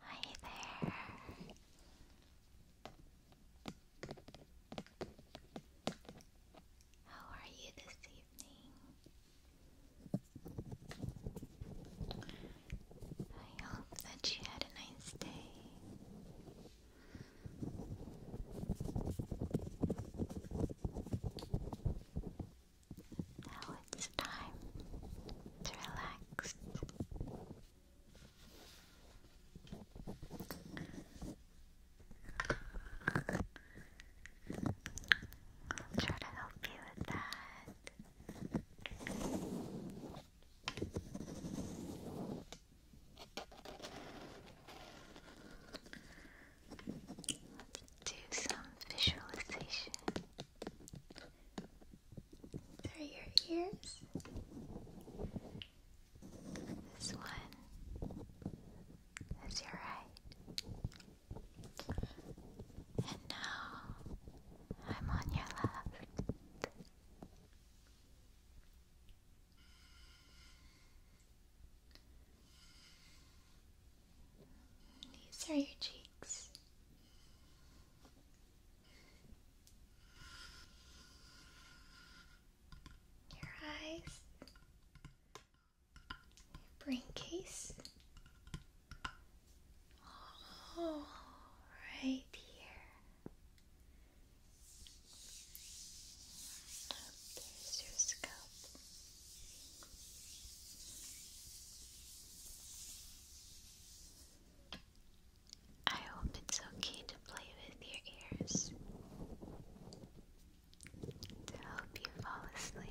Hi there. How are you this evening? I hope that you had a nice day. Now it's time to relax. I'll try to help you with that do some visualization through your ears. This one is your right. And now I'm on your left. These are your cheeks. Your eyes, your brain case, here there's your scalp. I hope it's okay to play with your ears to help you fall asleep.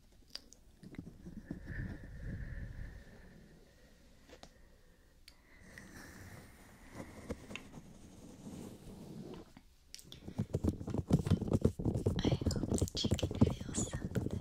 I hope that you can feel something here.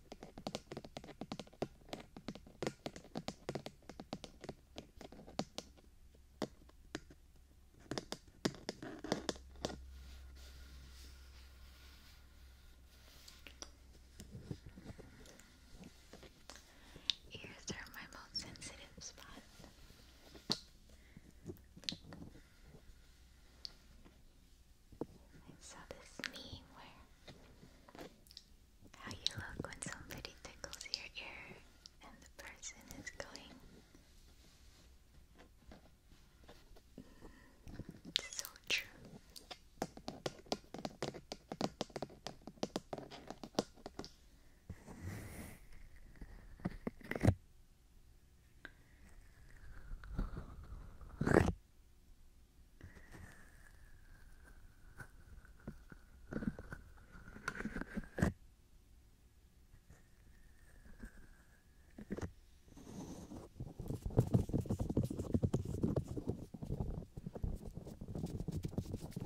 Ears are my most sensitive spot. I saw this meme where how you look when somebody tickles your ear and the person is going mm, so true.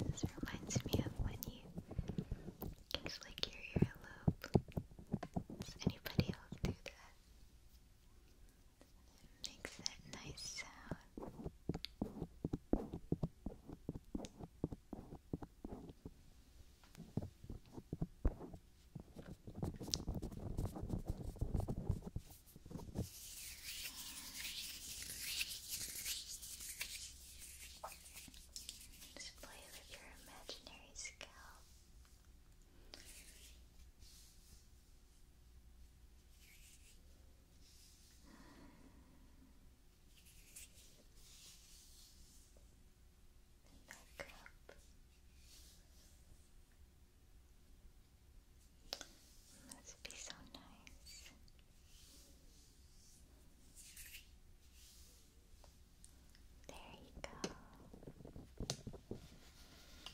This reminds me of when you flick your earlobe. Does anybody else do that? It makes that nice sound. Just play with your imaginary scalp. Makeup. Must be so nice. There you go.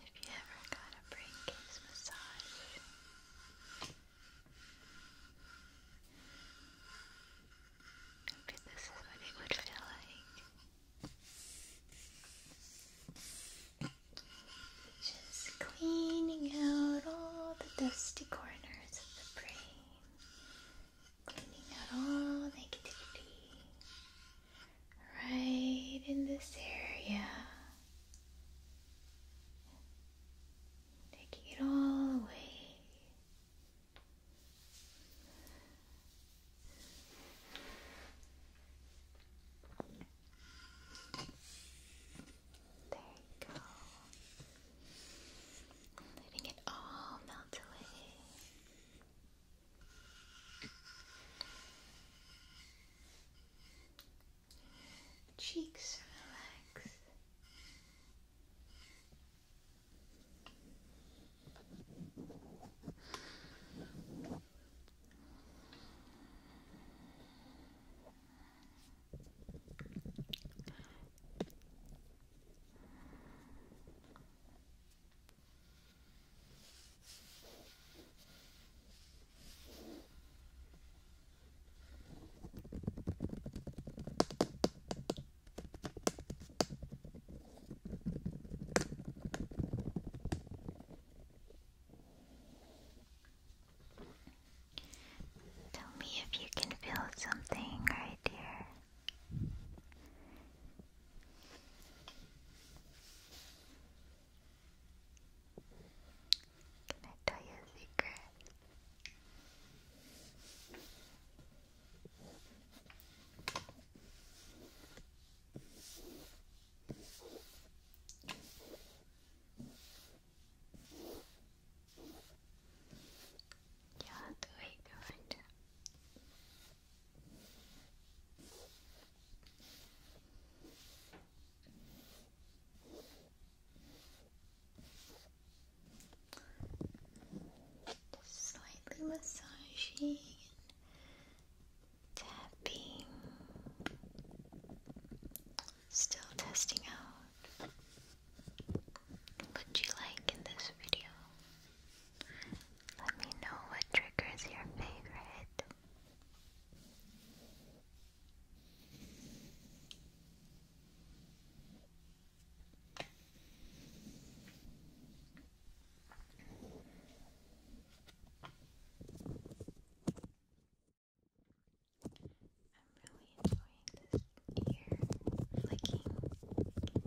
If you ever got a brain massage, this is what it would feel like. Just cleaning out all the dusty corners of the brain cleaning out all negativity right in this area, taking it all away. There you go. Letting it all melt away. Cheeks relax. Tell me if you can feel something right here. Can I tell you a secret? you wait to find slightly massaging tapping. Still testing out what you like in this video. Let me know what triggers your favorite. I'm really enjoying this ear flicking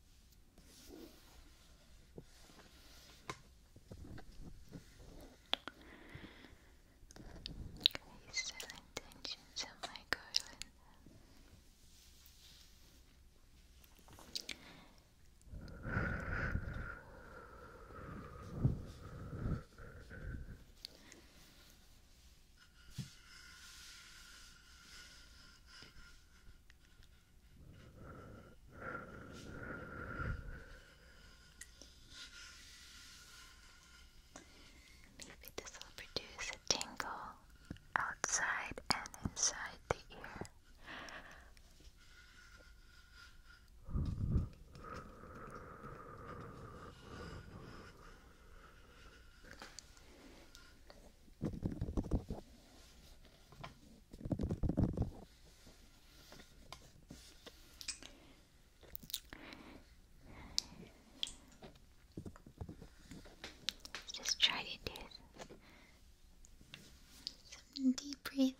These are intentions of my garland this will produce a tingle outside and inside the ear just try to do some deep breathing.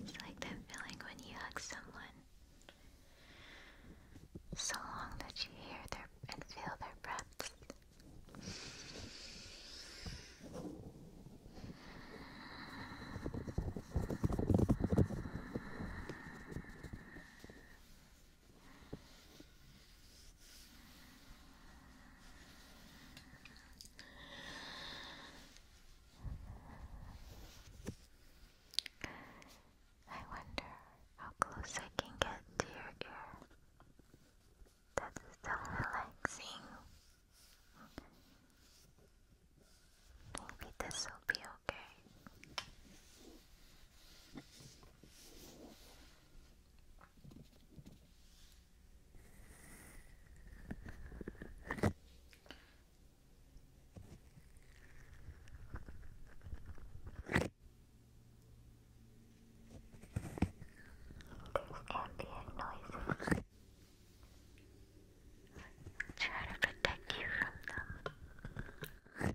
It's like that feeling when you hug someone so long that you hear their and feel their breaths. I wonder how close I can get to your ear. That is so relaxing. Maybe this will be okay ambient noises. Try to protect you from them.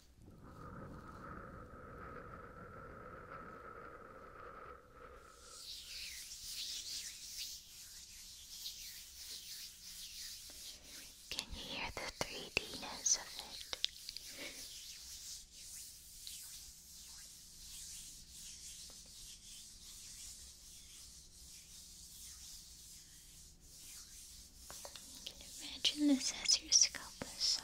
Can you hear the 3Dness of it? Can You imagine this as your scalp massage.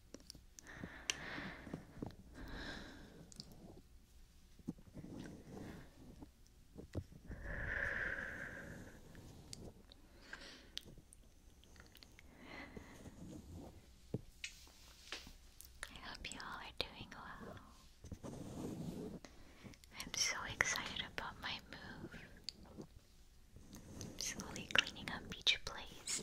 I hope you all are doing well. I'm so excited about my move. I'm slowly cleaning up Beach place.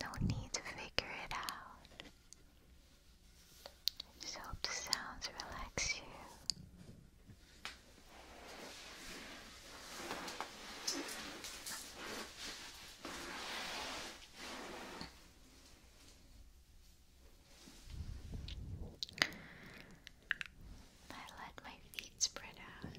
No need to figure it out. Just hope the sounds relax you. I let my feet spread out.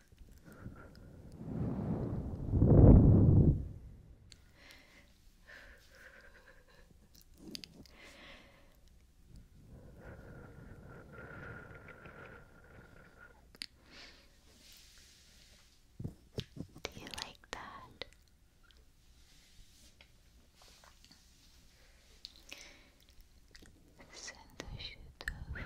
Do you like that? Sen de şu tövbe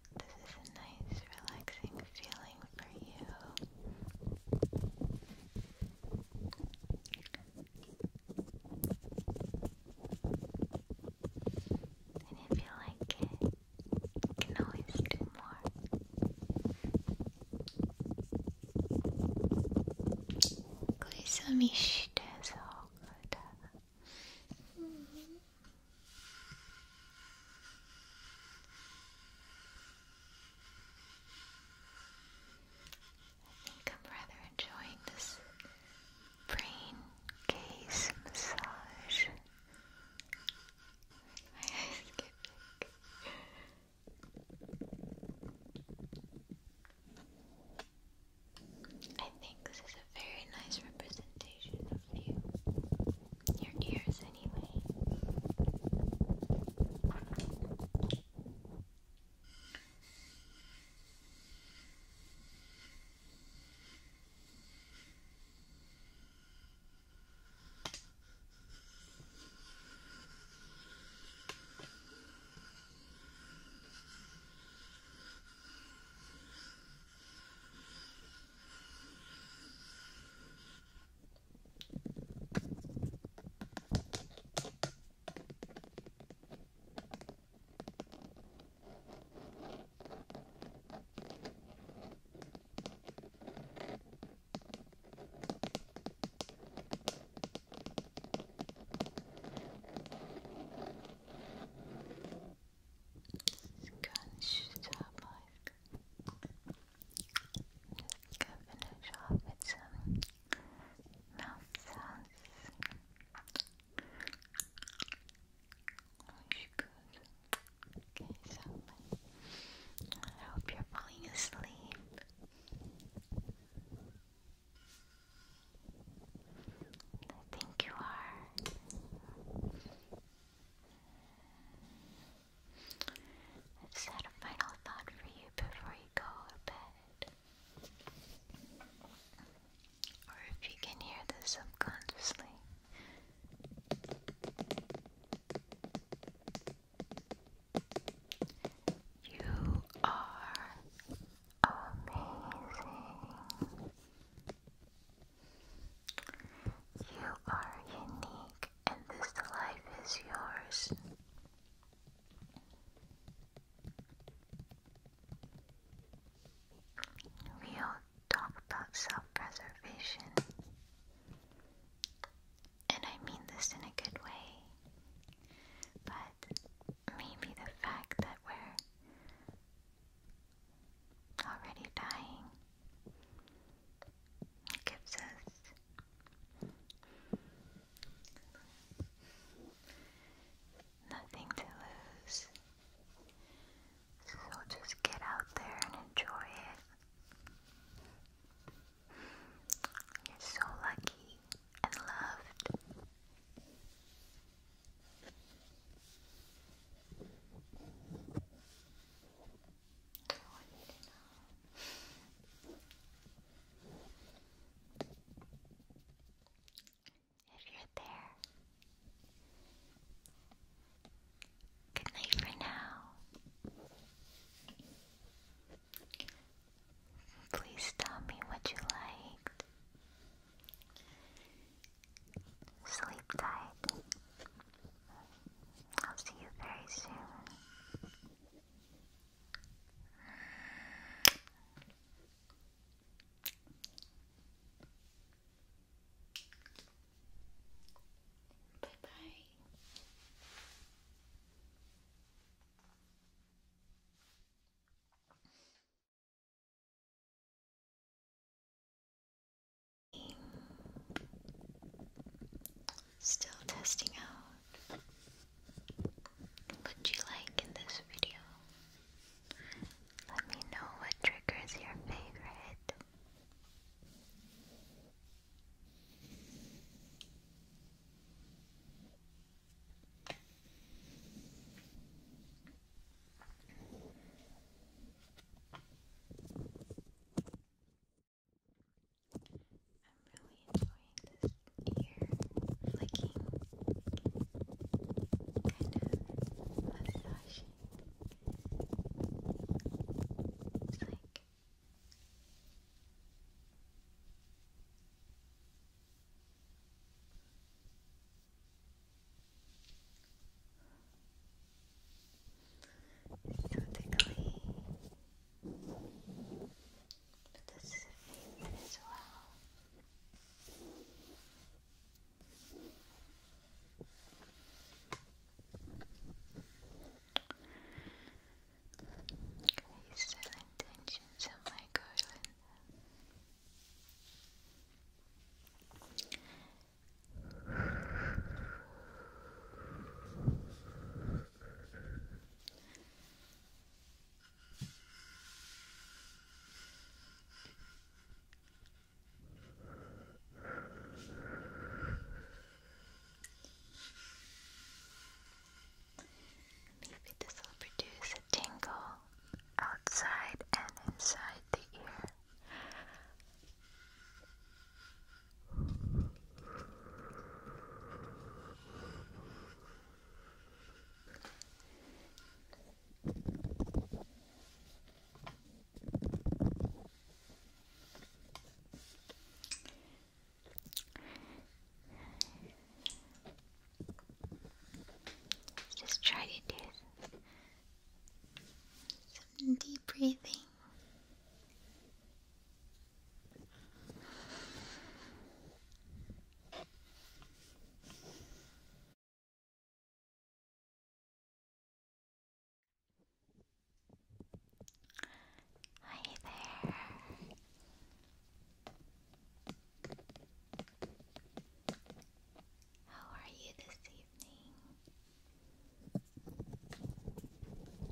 this is a nice, relaxing feeling for you. And if you like it, you can always do more. Mm -hmm. I think I'm rather enjoying this brain gaze massage. I think this is a very nice representation of you your ears anyway. Scan şu tarafa finish off with some mouth sounds. Okay, so I hope you're falling asleep. I think you are. Is that a final thought for you before you go to bed? Or if you can hear this subconsciously. You are amazing. You are unique, and this life is yours. We all talk about self preservation, and I mean this in a good way, but maybe the fact that we're already dying it gives us nothing to lose. So just get out there and enjoy it. You're so lucky and loved. That's If you're there, good night for now. Please tell me what you liked. Sleep tight. I'll see you very soon. Bye bye. Still testing out what you like in this video. Let me know what triggers your favorite. I'm really enjoying this ear flicking, kind of uh, massaging. It's like it's so tickly. But this is a favorite as well. These silent tensions of my garland. Maybe this will produce a tingle outside and inside the ear. Let's just try to do some deep breathing. Yes. Hi there. How are you this evening?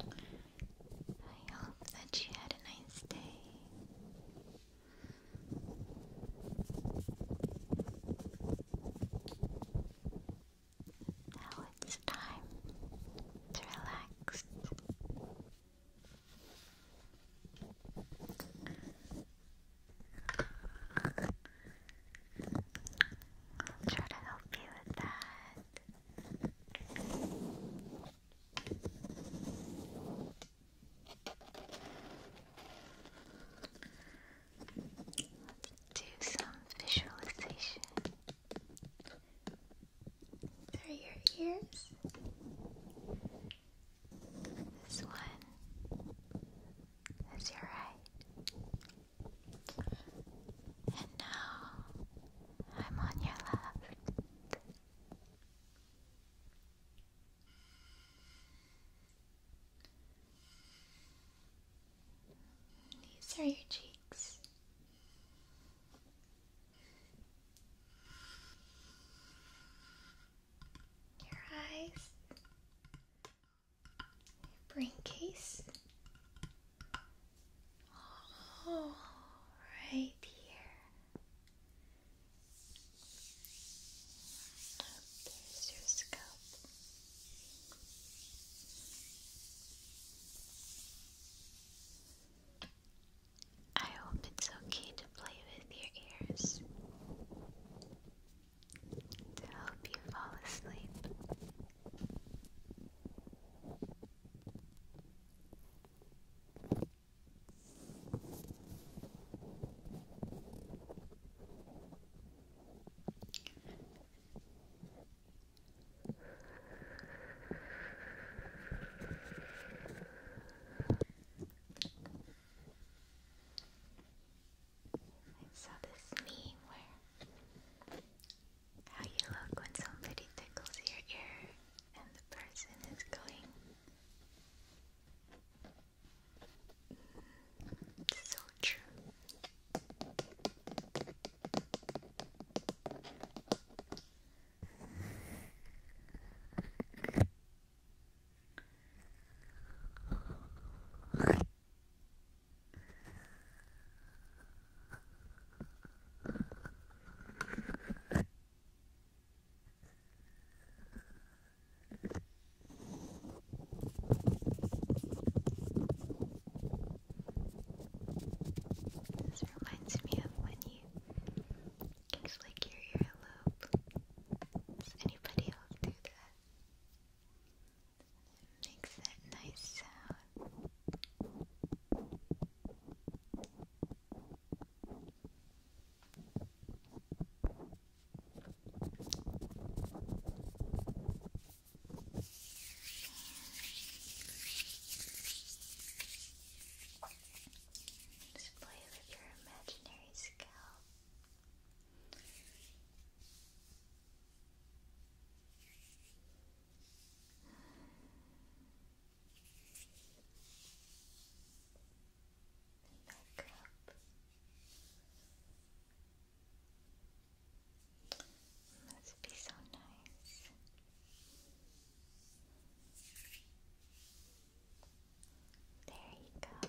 I hope that you had a nice day. Now it's time to relax. I'll try to help you with that. Let's do some visualization through your ears. This one is your right. And now I'm on your left. These are your cheeks. Your eyes, your brain case. Oh, here. there's your scalp. I hope it's okay to play with your ears to help you fall asleep. I saw this meme where how you look when somebody tickles your ear and the person is going mm, so true. This reminds me of when you flick your earlobe. Does anybody else do that? It makes that nice sound. Just play with your imaginary scalp. Makeup. Must be so nice. There you go.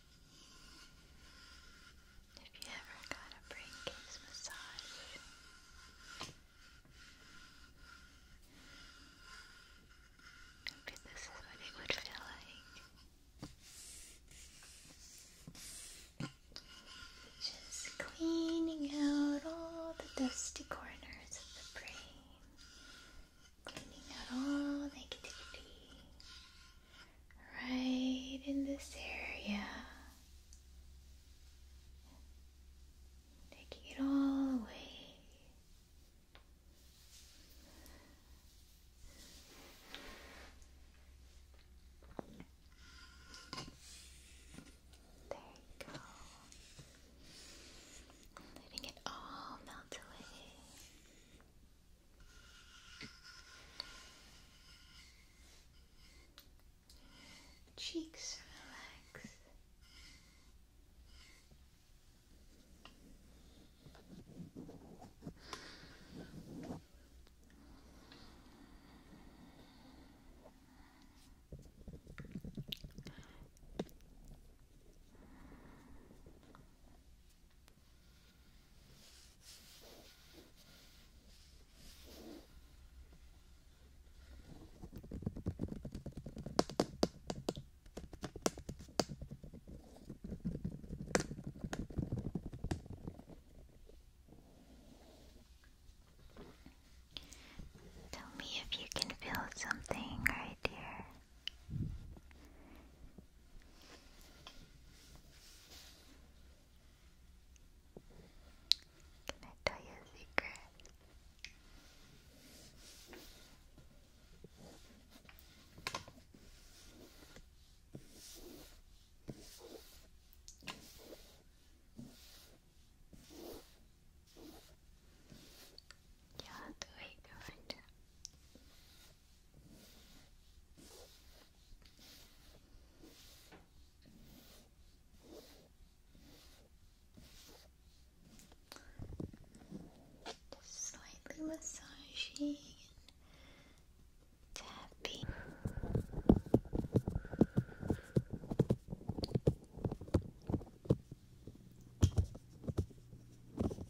If you ever got a brain massage, this is what it would feel like. Just cleaning out all the dusty corners of the brain, cleaning out all negativity right in this area, taking it all away. There you go. Letting it all melt away. Cheeks relax. Tell me if you can feel something right here. Can I tell you a secret? you have to wait to find slightly massaging tapping.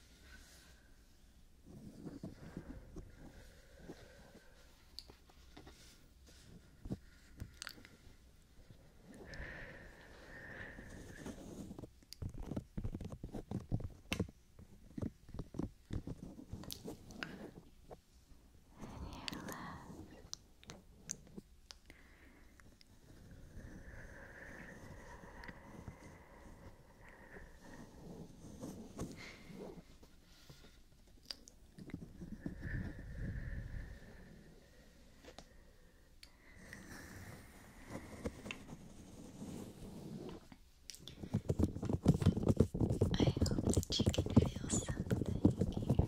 And your left I hope that you can feel something here.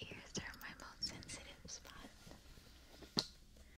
Ears are my most sensitive spot.